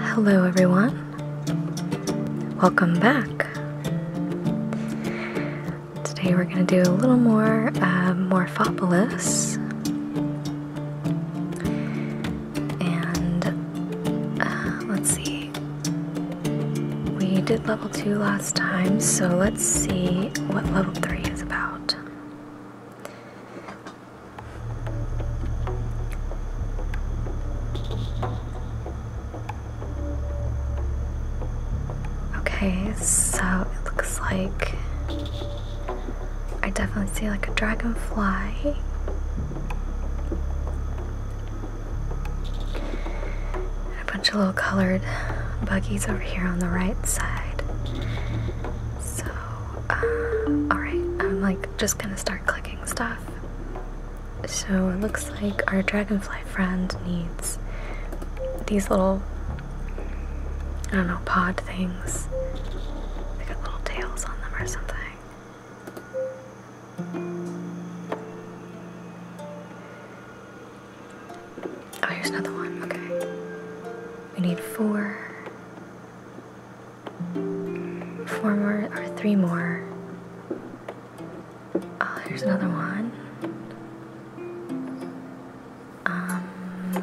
Hello, everyone. Welcome back. Today we're going to do a little more uh, Morphopolis. And uh, let's see. We did level 2 last time, so let's see what level 3 is about. Okay, so it looks like I definitely see like a dragonfly. A bunch of little colored buggies over here on the right side. So uh, alright, I'm like just gonna start clicking stuff. So it looks like our dragonfly friend needs these little, I don't know, pod things. They got little tails on them or something. Oh, here's another one. Okay. We need four. Four more, or three more. Oh, here's another one. Um,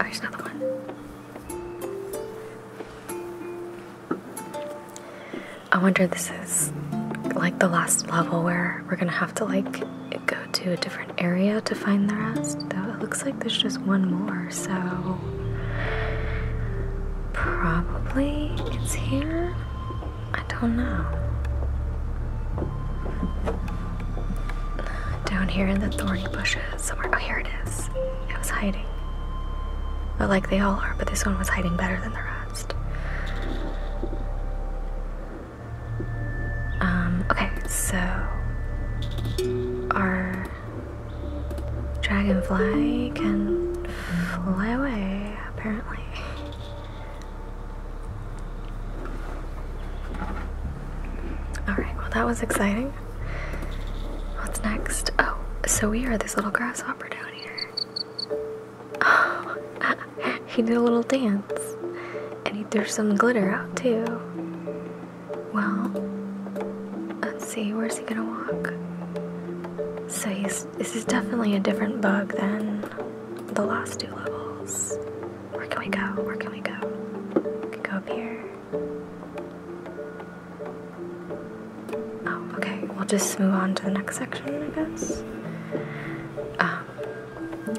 oh, here's another one. I wonder if this is like the last level where we're gonna have to like go to a different area to find the rest, though it looks like there's just one more, so probably it's here. I don't know. Down here in the thorny bushes somewhere. Oh, here it is. It was hiding. Well, like they all are, but this one was hiding better than the rest. Um, okay, so our dragonfly can fly away, apparently. Alright, well, that was exciting. What's next? Oh, so we are this little grasshopper down here. Ah, he did a little dance and he threw some glitter out too. Well, let's see, where's he gonna walk? So he's this is definitely a different bug than the last two levels. Where can we go? Where can we go? can go up here. Oh, okay, we'll just move on to the next section, I guess. Um,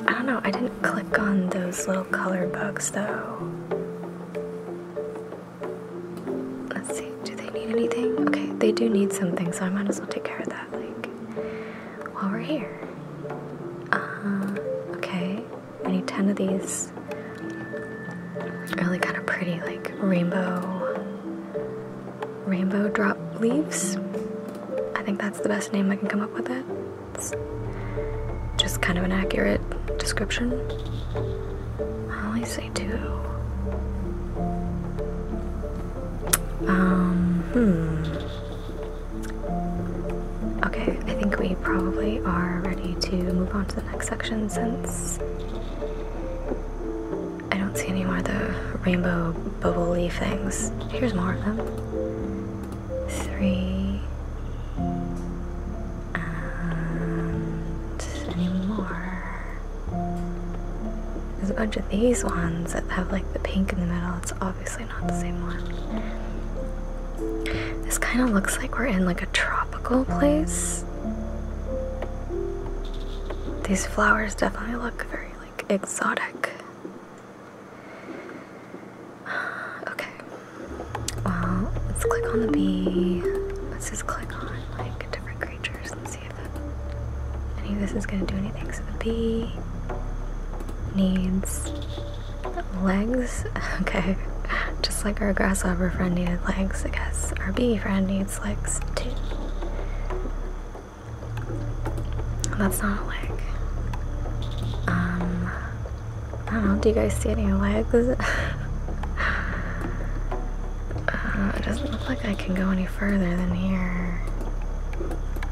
I don't know, I didn't click on those little color bugs though. Let's see, do they need anything? Okay, they do need something, so I might as well take care of that, like, while we're here. Uh, okay, I need 10 of these really kind of pretty, like, rainbow, rainbow drop leaves. I think that's the best name I can come up with it. It's just kind of an accurate description. I only say two. Um, hmm. Okay, I think we probably are ready to move on to the next section since I don't see any more of the rainbow bubbly things. Here's more of them three, and any There's a bunch of these ones that have like the pink in the middle. It's obviously not the same one. This kind of looks like we're in like a tropical place. These flowers definitely look very like exotic. Okay. Well, let's click on the bee. Let's just click on like different creatures and see if any of this is gonna do anything. So the bee needs legs. Okay. Just like our grasshopper friend needed legs, I guess our bee friend needs legs too. That's not a leg. Um, I don't know. Do you guys see any legs? Uh, it doesn't look like I can go any further than here.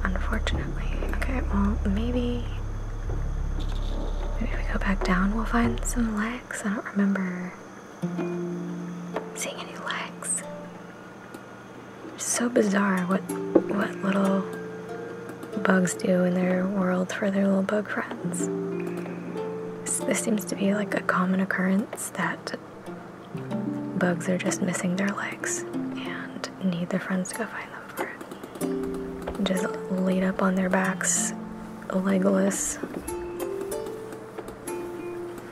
Unfortunately. Okay, well, maybe. Maybe if we go back down, we'll find some legs. I don't remember seeing any legs so bizarre what what little bugs do in their world for their little bug friends. This, seems to be like a common occurrence that bugs are just missing their legs and need their friends to go find them just laid up on their backs, legless.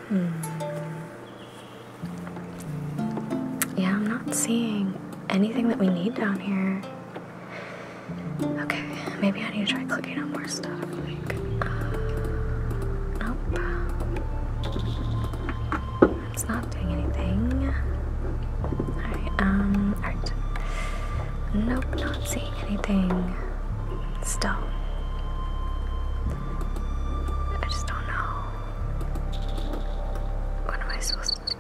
Hmm. Yeah, I'm not seeing anything that we need down here. Okay, maybe I need to try clicking on more stuff. Uh, nope. It's not doing anything. Alright, um, Nope, not seeing anything. Still. I just don't know. What am I supposed to do?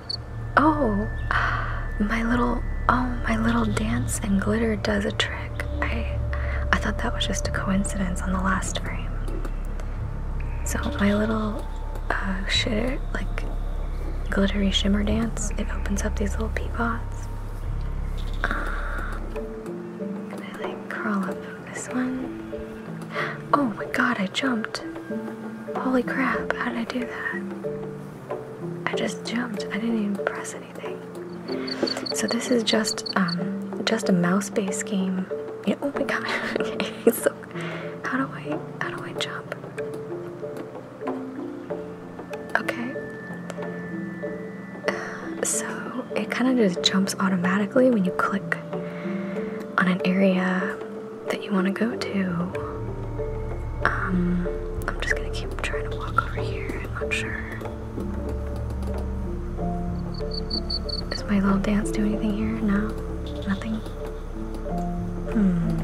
Oh, my little oh my little dance and glitter does a trick. I I thought that was just a coincidence on the last frame. So my little uh, shitter like glittery shimmer dance. It opens up these little pea pods. Uh, I like crawl up this one. Oh my god, I jumped. Holy crap, how did I do that? I just jumped. I didn't even press anything. So this is just um just a mouse-based game. oh my god. okay, so how do I how do I jump? Okay. so it kind of just jumps automatically when you click on an area that you want to go to. Um, I'm just gonna keep trying to walk over here. I'm not sure. Does my little dance do anything here? No? Nothing? Hmm.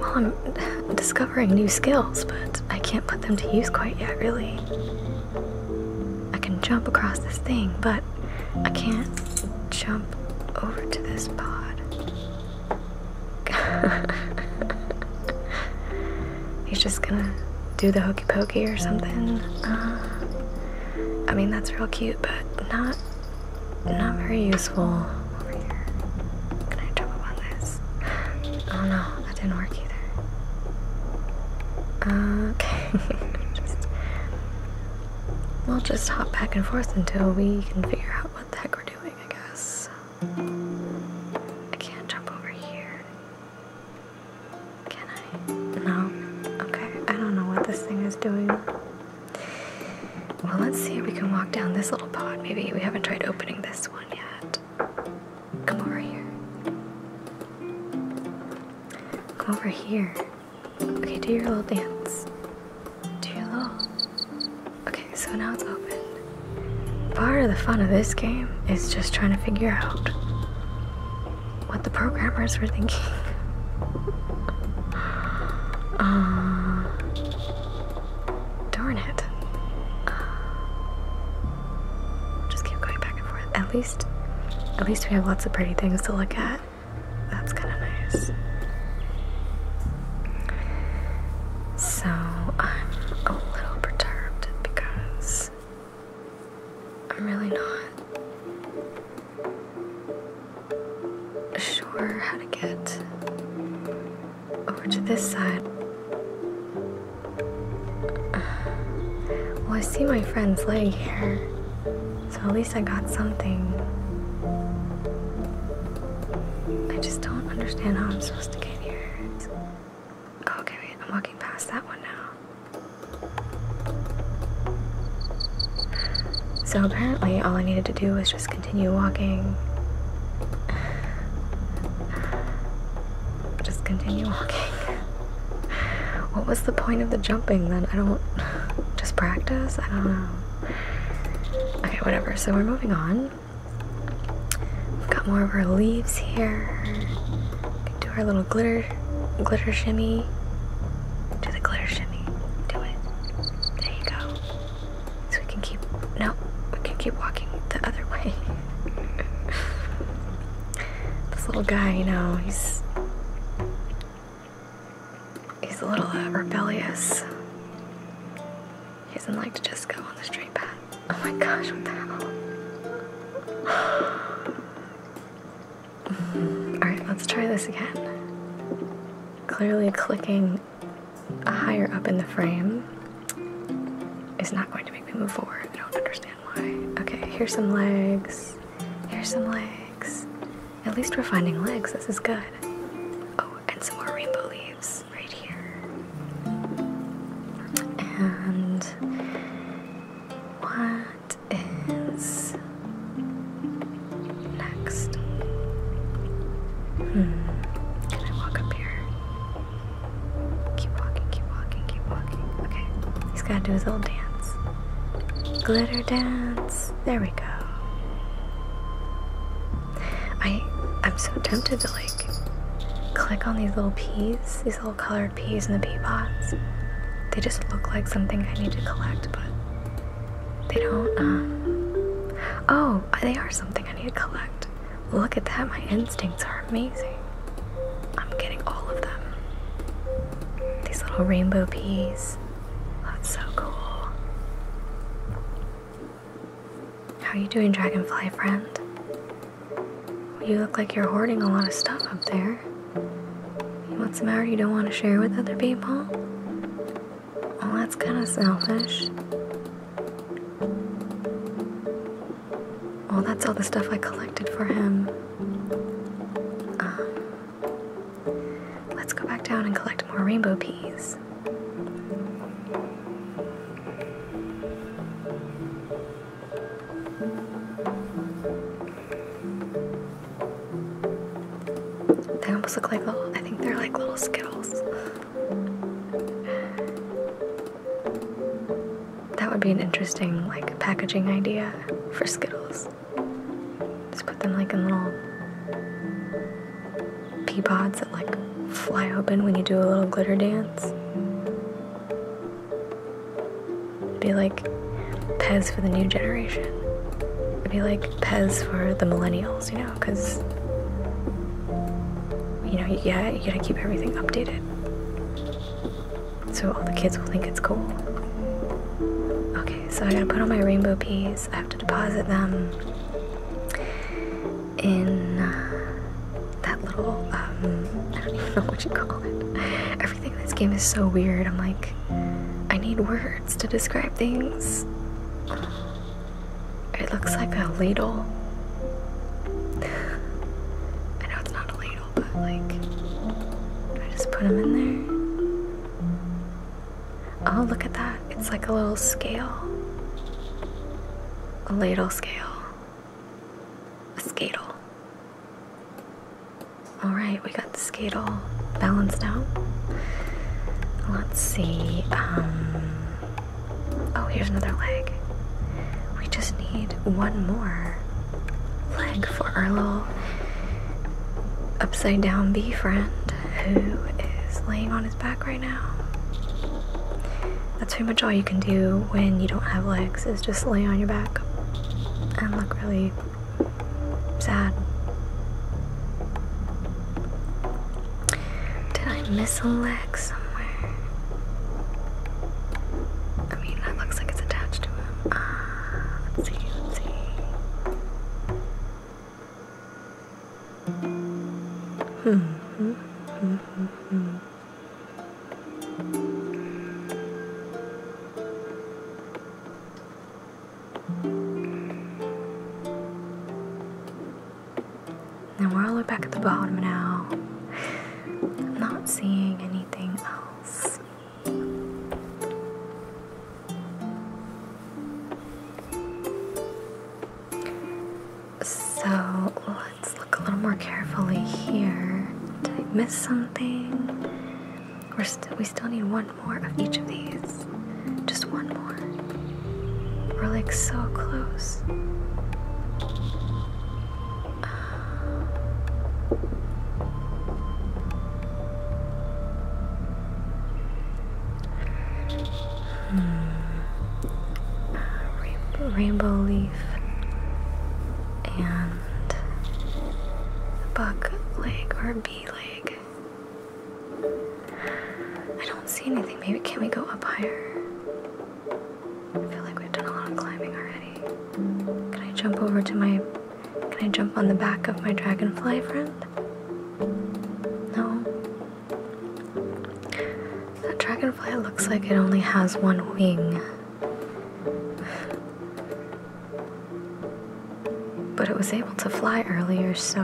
Well, I'm discovering new skills, but I can't put them to use quite yet, really. I can jump across this thing, but I can't jump over to this pod. He's just gonna do the hokey pokey or something. Uh, I mean, that's real cute, but not not very useful over here. Can I jump on this? Oh no that didn't work either. Okay. we'll just hop back and forth until we can figure out what the heck we're doing, I guess. I can't jump over here. Can I? No? Okay, I don't know what this thing is doing. Well, let's see if we can walk down this little pod. Maybe we haven't tried opening this one yet. Come over here. Come over here. Okay, do your little dance. Do your little. Okay, so now it's open. Part of the fun of this game is just trying to figure out what the programmers were thinking. uh, darn it. Just keep going back and forth. At least at least we have lots of pretty things to look at. That's kind of nice. So I'm a little perturbed because I'm really not sure how to get over to this side. Well, I see my friend's leg here, so at least I got something. I just don't understand how I'm supposed to get here. Oh, okay, wait, I'm walking past that one now. So apparently all I needed to do was just continue walking. Just continue walking. What was the point of the jumping then? I don't. Just practice? I don't know. Okay, whatever. So we're moving on. We've got more of our leaves here. do our little glitter, glitter shimmy. Do the glitter shimmy. Do it. There you go. So we can keep. No, we can keep walking the other way. This little guy, you know, he's he's a little uh, rebellious. He doesn't like to just go on the straight path. Oh my gosh, what the hell? all right, let's try this again. Clearly, clicking higher up in the frame is not going to be make I don't understand why. Okay, here's some legs. Here's some legs. At least we're finding legs. This is good. Oh, and some more rainbow leaves right here. And what is next? Hmm, can I walk up here? Keep walking, keep walking, keep walking. Okay, he's gotta do his little dance. Glitter dance. There we go. I I'm so tempted to like click on these little peas, these little colored peas in the pea pots. They just look like something I need to collect, but they don't. Um, oh, they are something I need to collect. Look at that! My instincts are amazing. I'm getting all of them. These little rainbow peas. That's so cool. How are you doing, dragonfly friend? You look like you're hoarding a lot of stuff up there. You want some out you don't want to share with other people? Well, that's kind of selfish. Well, that's all the stuff I collected for him. Um, let's go back down and collect more rainbow peas. They almost look like little, I think they're like little Skittles. That would be an interesting like packaging idea for Skittles. Just put them like in little pea pods that like fly open when you do a little glitter dance. be like Pez for the new generation. be like Pez for the millennials, you know, because you know, yeah, you gotta keep everything updated so all the kids will think it's cool. Okay, so I gotta put on my rainbow peas. I have to deposit them in uh, that little, um, I don't even know what you call it. Everything in this game is so weird. I'm like, I need words to describe things. It looks like a ladle. I know it's not a ladle but like, I just put them in there. Oh, look at that. It's like a little scale. A ladle scale. A skadle. Alright, we got the skadle balanced now. Let's see. Um, oh, here's another leg. We just need one more. Leg for our little upside down bee friend who is laying on his back right now. That's pretty much all you can do when you don't have legs is just lay on your back and look really sad. Did I miss a leg somewhere? I mean, that looks like it's attached to him. Uh, let's see, let's see. Hmm. hmm, hmm, hmm, hmm. And we're all the way back at the bottom now. not seeing anything else. So let's look a little more carefully here. Did I miss something? We're st we still need one more of each of these. Just one more. We're like so close. Hmm. rainbow, rainbow leaf and buck leg or bee leg. I don't see anything. Maybe can we go up higher? I feel like we've done a lot of climbing already. Can I jump over to my. Can I jump on the back of my dragonfly friend? No. That dragonfly looks like it only has one wing. But it was able to fly earlier, so.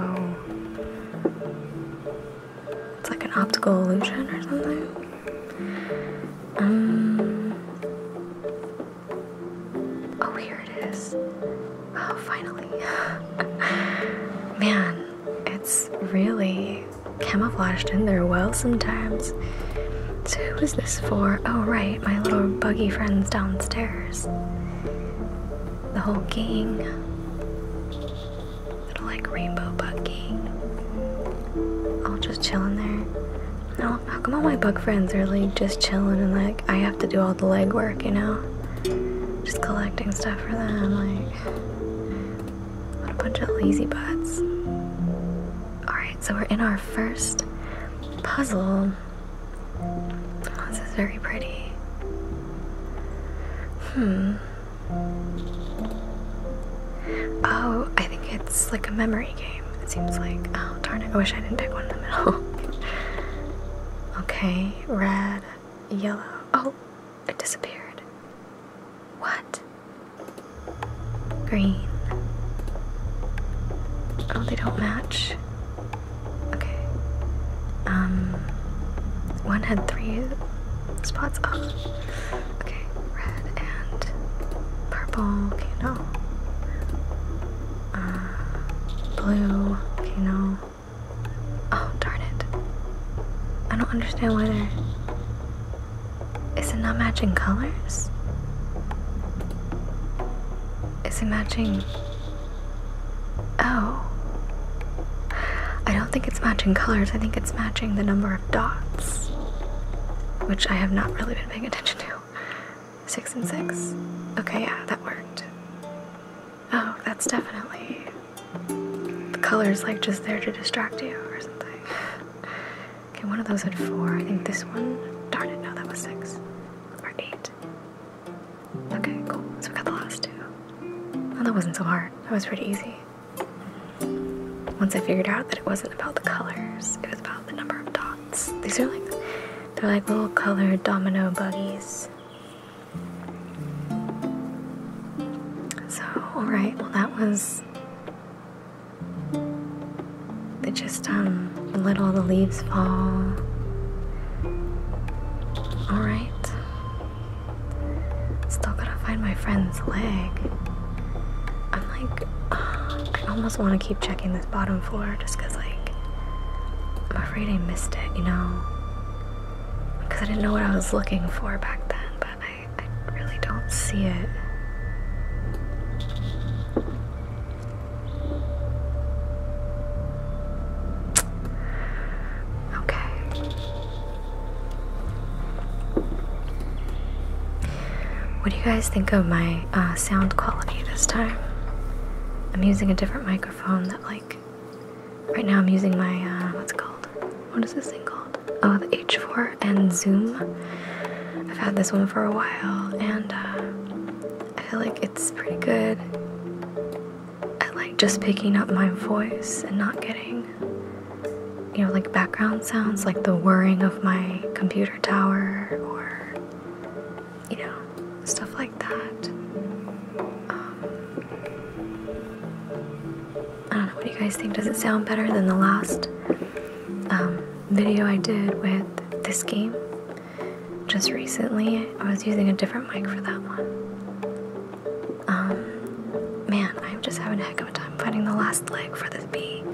It's like an optical illusion or something. Um, oh, here it is. Wow, oh, finally. Man, it's really camouflaged in there well sometimes. So who is this for? Oh, right, my little buggy friends downstairs. The whole gang. Little, like, rainbow bug gang. All just chilling there. No, how come all my bug friends are like just chilling and like I have to do all the legwork, you know? Just collecting stuff for them, like what a bunch of lazy butts. Alright, so we're in our first puzzle. this is very pretty. Hmm. Oh, I think it's like a memory game, it seems like. Oh, darn it. I wish I didn't pick one in the middle. okay, red, yellow. Oh, it disappeared. What? Green. Oh, they don't match. Okay. Um, one had three spots up. Oh. Okay, red and purple Kano. Uh, blue Kano. Oh, darn it. I don't understand why Is it not matching colors? Is it matching. Oh. I don't think it's matching colors, I think it's matching the number of dots, which I have not really been even paying attention to? Six and six? Okay, yeah, that worked. Oh, that's definitely. The color's like just there to distract you or something. Okay, one of those had four. I think this one. Darn it, no, that was six. Or eight. Okay, cool. So we got the last two. Well, that wasn't so hard. That was pretty easy once I figured out that it wasn't about the colors, it was about the number of dots. These are like, they're like little colored domino buggies. So, alright, well that was, they just, um, let all the leaves fall. Alright. Still gotta find my friend's leg. I'm like, I almost want to keep checking this bottom floor just because, like, I'm afraid I missed it, you know? Because I didn't know what I was looking for back then, but I, I really don't see it. Okay. What do you guys think of my uh, sound quality this time? I'm using a different microphone that, like, right now I'm using my, uh, what's called? What is this thing called? Oh, the H4 and Zoom. I've had this one for a while and uh, I feel like it's pretty good I like, just picking up my voice and not getting you know, like background sounds, like the whirring of my computer tower or, you know, stuff like that. Um, I don't know, what do you guys think? Does it sound better than the last um, video I did with this game? Just recently, I was using a different mic for that one. Um, man, I'm just having a heck of a time finding the last leg for this bee.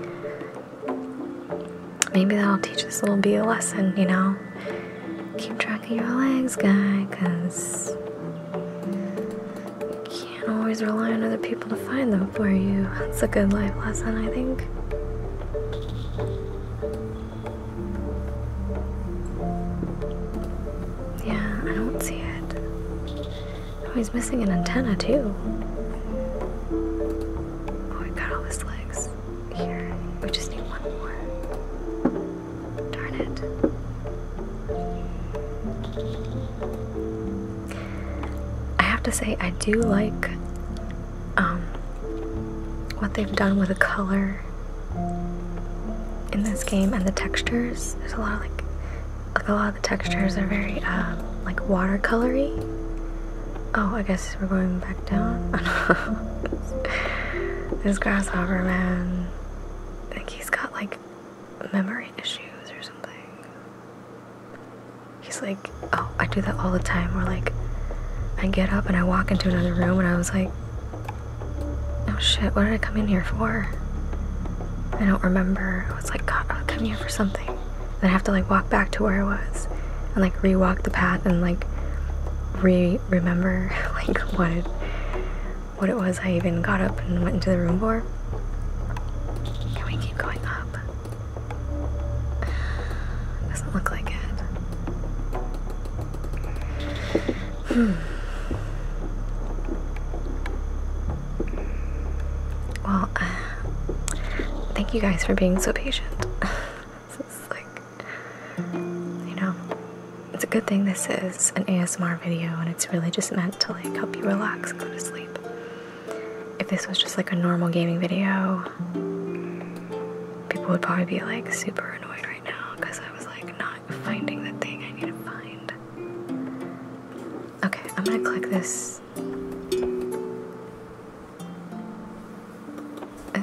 Maybe that'll teach this little bee a lesson, you know? Keep track of your legs, guy, because you can't always rely on other people to find them for you. That's a good life lesson, I think. Yeah, I don't see it. Oh, he's missing an antenna too. Oh, he got all his legs. Here, we just need one more. Darn it. I have to say, I do like um, what they've done with the color in this game and the textures. There's a lot of like like a lot of the textures are very uh, like watercolory. Oh, I guess we're going back down. this grasshopper man, I think he's got like memory issues or something. He's like, oh, I do that all the time. Where like, I get up and I walk into another room and I was like, oh shit, what did I come in here for? I don't remember. I was like, God, I'll come here for something. Then I have to like walk back to where I was and like rewalk the path and like re remember like what it, what it was I even got up and went into the room for. Can we keep going up? Doesn't look like it. Hmm. Well, thank you guys for being so patient. this like, you know, it's a good thing this is an ASMR video and it's really just meant to like help you relax and go to sleep. If this was just like a normal gaming video, people would probably be like super annoyed right now because I was like not finding the thing I need to find. Okay, I'm gonna click this this?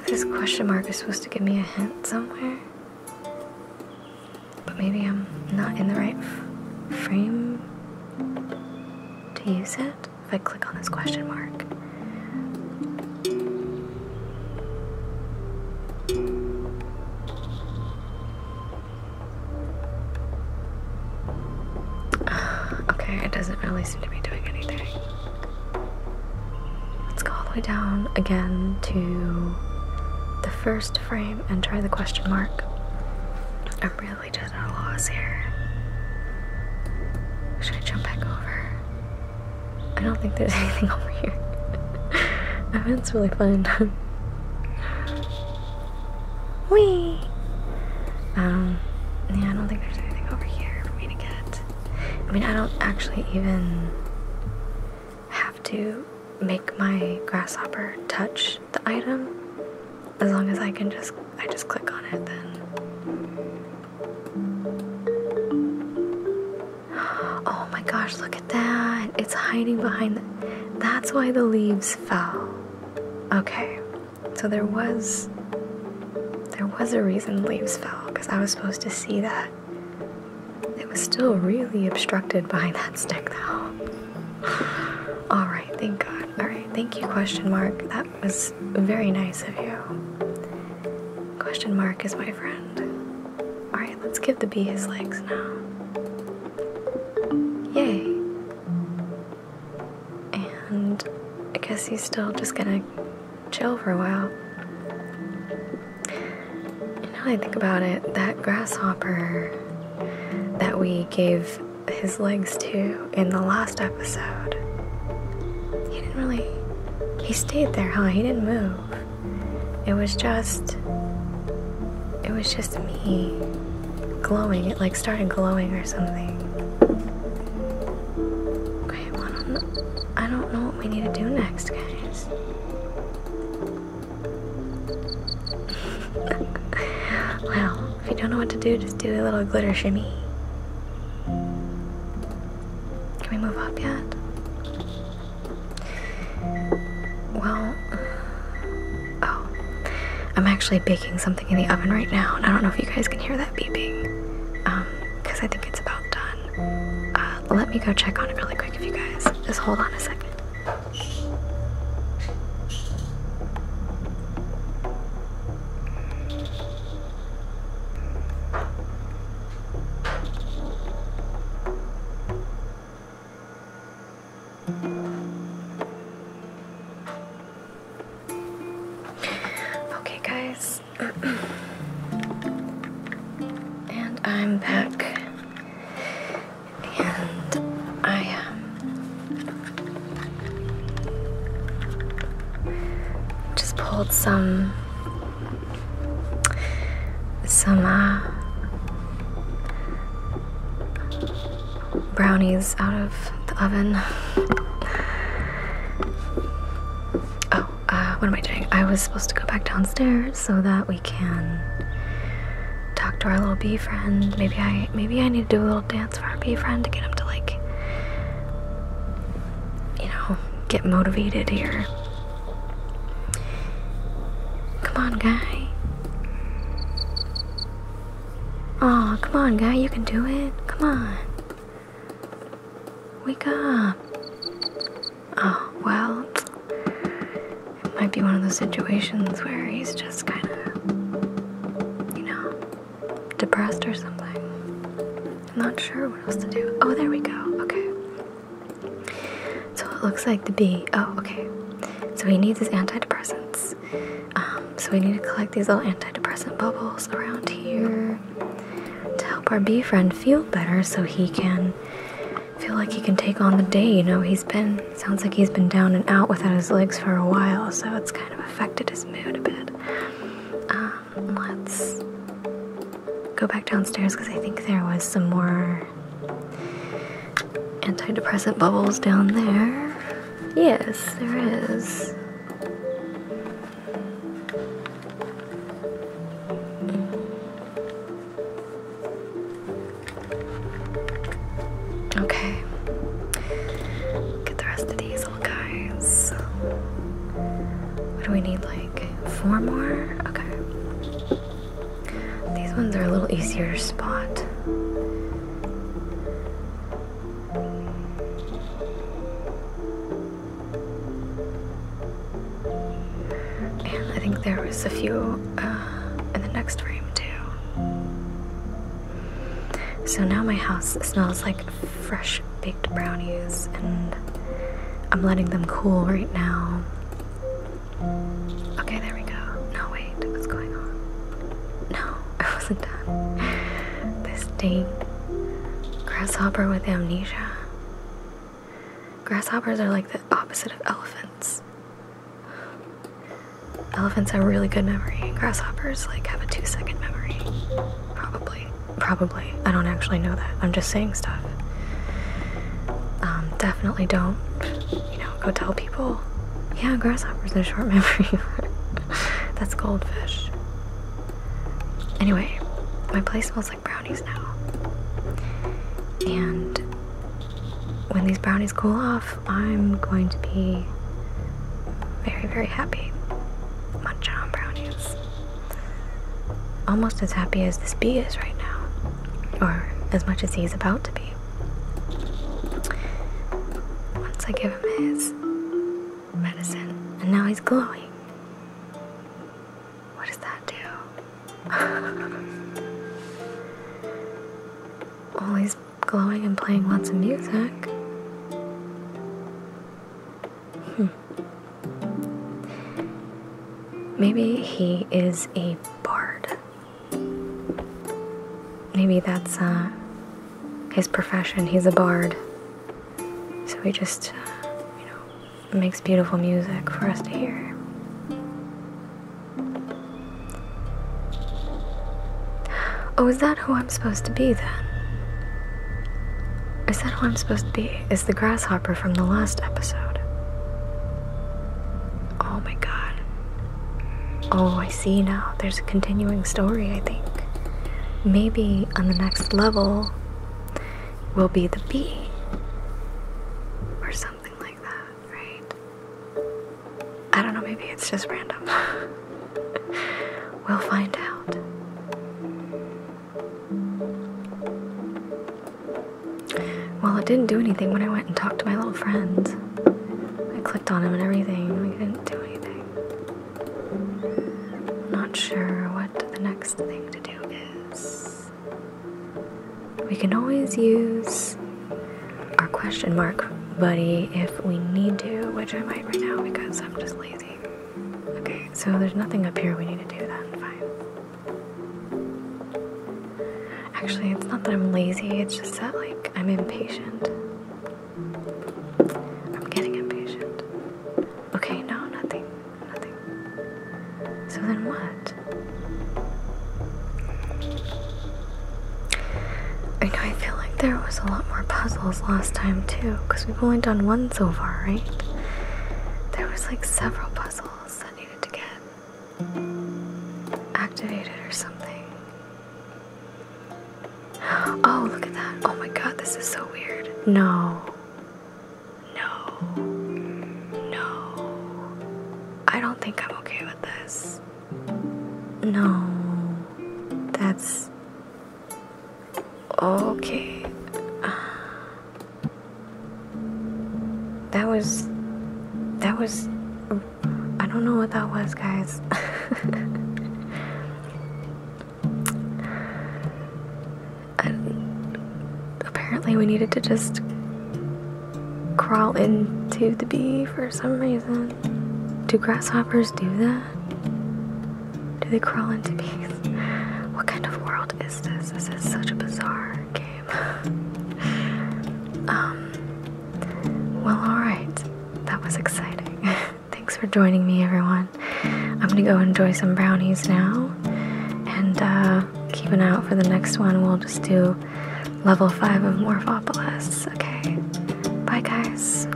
This question mark is supposed to give me a hint somewhere. But maybe I'm not in the right frame to use it if I click on this question mark. okay, it doesn't really seem to be doing anything. Let's go all the way down again to the first frame and try the question mark. I'm really just at a loss here. Should I jump back over? I don't think there's anything over here. I mean, it's really fun. Whee! Um, yeah, I don't think there's anything over here for me to get. I mean, I don't actually even have to make my grasshopper touch the item. As long as I can just, I just click on it then. Oh my gosh, look at that. It's hiding behind the, that's why the leaves fell. Okay, so there was there was a reason leaves fell because I was supposed to see that. It was still really obstructed by that stick though. All right, thank God. All right, thank you question mark. That was very nice of you. Question mark is my friend. All right, let's give the bee his legs now. Yay. And I guess he's still just gonna chill for a while. And now I think about it, that grasshopper that we gave his legs to in the last episode, he didn't really. He stayed there, huh? He didn't move. It was just. It was just me glowing. It like started glowing or something. Okay, I don't know, I don't know what we need to do next, guys. well, if you don't know what to do, just do a little glitter shimmy. Can we move up yet? Well, Oh, I'm actually baking something in the oven right now, and I don't know if you guys can hear that beeping, um, because I think it's about done. Uh, let me go check on it really quick if you guys just hold on a second. Okay, guys. and I'm back. And I um, just pulled some some uh, brownies out of the oven. Oh, uh, what am I doing? I was supposed to go back downstairs so that we can talk to our little bee friend. Maybe I maybe I need to do a little dance for our bee friend to get him to like you know, get motivated here. Come on, guy. Aw, oh, come on, guy, you can do it. Come on. Wake up. Oh, well, it might be one of those situations where he's just kind of, you know, depressed or something. I'm not sure what else to do. Oh, there we go. Okay. So it looks like the bee. Oh, okay. So he needs his antidepressants. Um, so we need to collect these little antidepressant bubbles around here to help our bee friend feel better so he can feel like he can take on the day. You know, he's been, sounds like he's been down and out without his legs for a while, so it's kind of affected his mood a bit. Um, let's go back downstairs because I think there was some more antidepressant bubbles down there. Yes, there is. Okay. Get the rest of these little guys. What do we need? Like four more? Okay. These ones are a little easier to spot. And I think there was a few uh, in the next frame too. So now my house smells like fresh baked brownies, and I'm letting them cool right now. Okay, there we go. No, wait, what's going on? No. I wasn't done. This dang grasshopper with amnesia. Grasshoppers are like the opposite of elephants. Elephants have really good memory, grasshoppers like have a two second memory. Probably. Probably. I don't actually know that. I'm just saying stuff. Um, definitely don't, you know, go tell people, yeah, grasshoppers are short memory. That's goldfish. Anyway, my place smells like brownies now. And when these brownies cool off, I'm going to be very, very happy. Munching on brownies. Almost as happy as this bee is right now, or as much as he's about to be. Once I give him his medicine, and now he's glowing. What does that do? well, he's glowing and playing lots of music. Hmm. Maybe he is a bard. Maybe that's uh, his profession. He's a bard. So he just, uh, you know, makes beautiful music for us to hear. Oh, is that who I'm supposed to be then? Is that who I'm supposed to be? Is the grasshopper from the last episode? Oh my god. Oh, I see now. There's a continuing story, I think. Maybe on the next level will be the bee. Or something like that, right? I don't know, maybe it's just random. we'll find out. Well, it didn't do anything when I went and talked to my little friend. I clicked on him and everything, and didn't do anything. Not sure what the next thing to do is. We can always use our question mark buddy if we need to, which I might right now because I'm just lazy. Okay, so there's nothing up here we need to do then, fine. Actually, it's not that I'm lazy, it's just that, like, I'm impatient. I'm getting impatient. Okay, no, nothing. Nothing. So then what? I know I feel like there was a lot more puzzles last time too, because we've only done one so far, right? There was like several puzzles that needed to get activated or something. Oh, look at that. Oh my god, this is so weird. No. No. No. I don't think I'm okay with this. No. That's. Okay. That was. That was I don't know what that was, guys. apparently, we needed to just crawl into the bee for some reason. Do grasshoppers do that? Do they crawl into bees? What kind of world is this? This is such a bizarre game. um, well, alright. That was exciting. Thanks for joining me, everyone. I'm gonna go enjoy some brownies now and uh, keep an eye out for the next one. We'll just do level 5 of Morphopolis. Okay, bye, guys.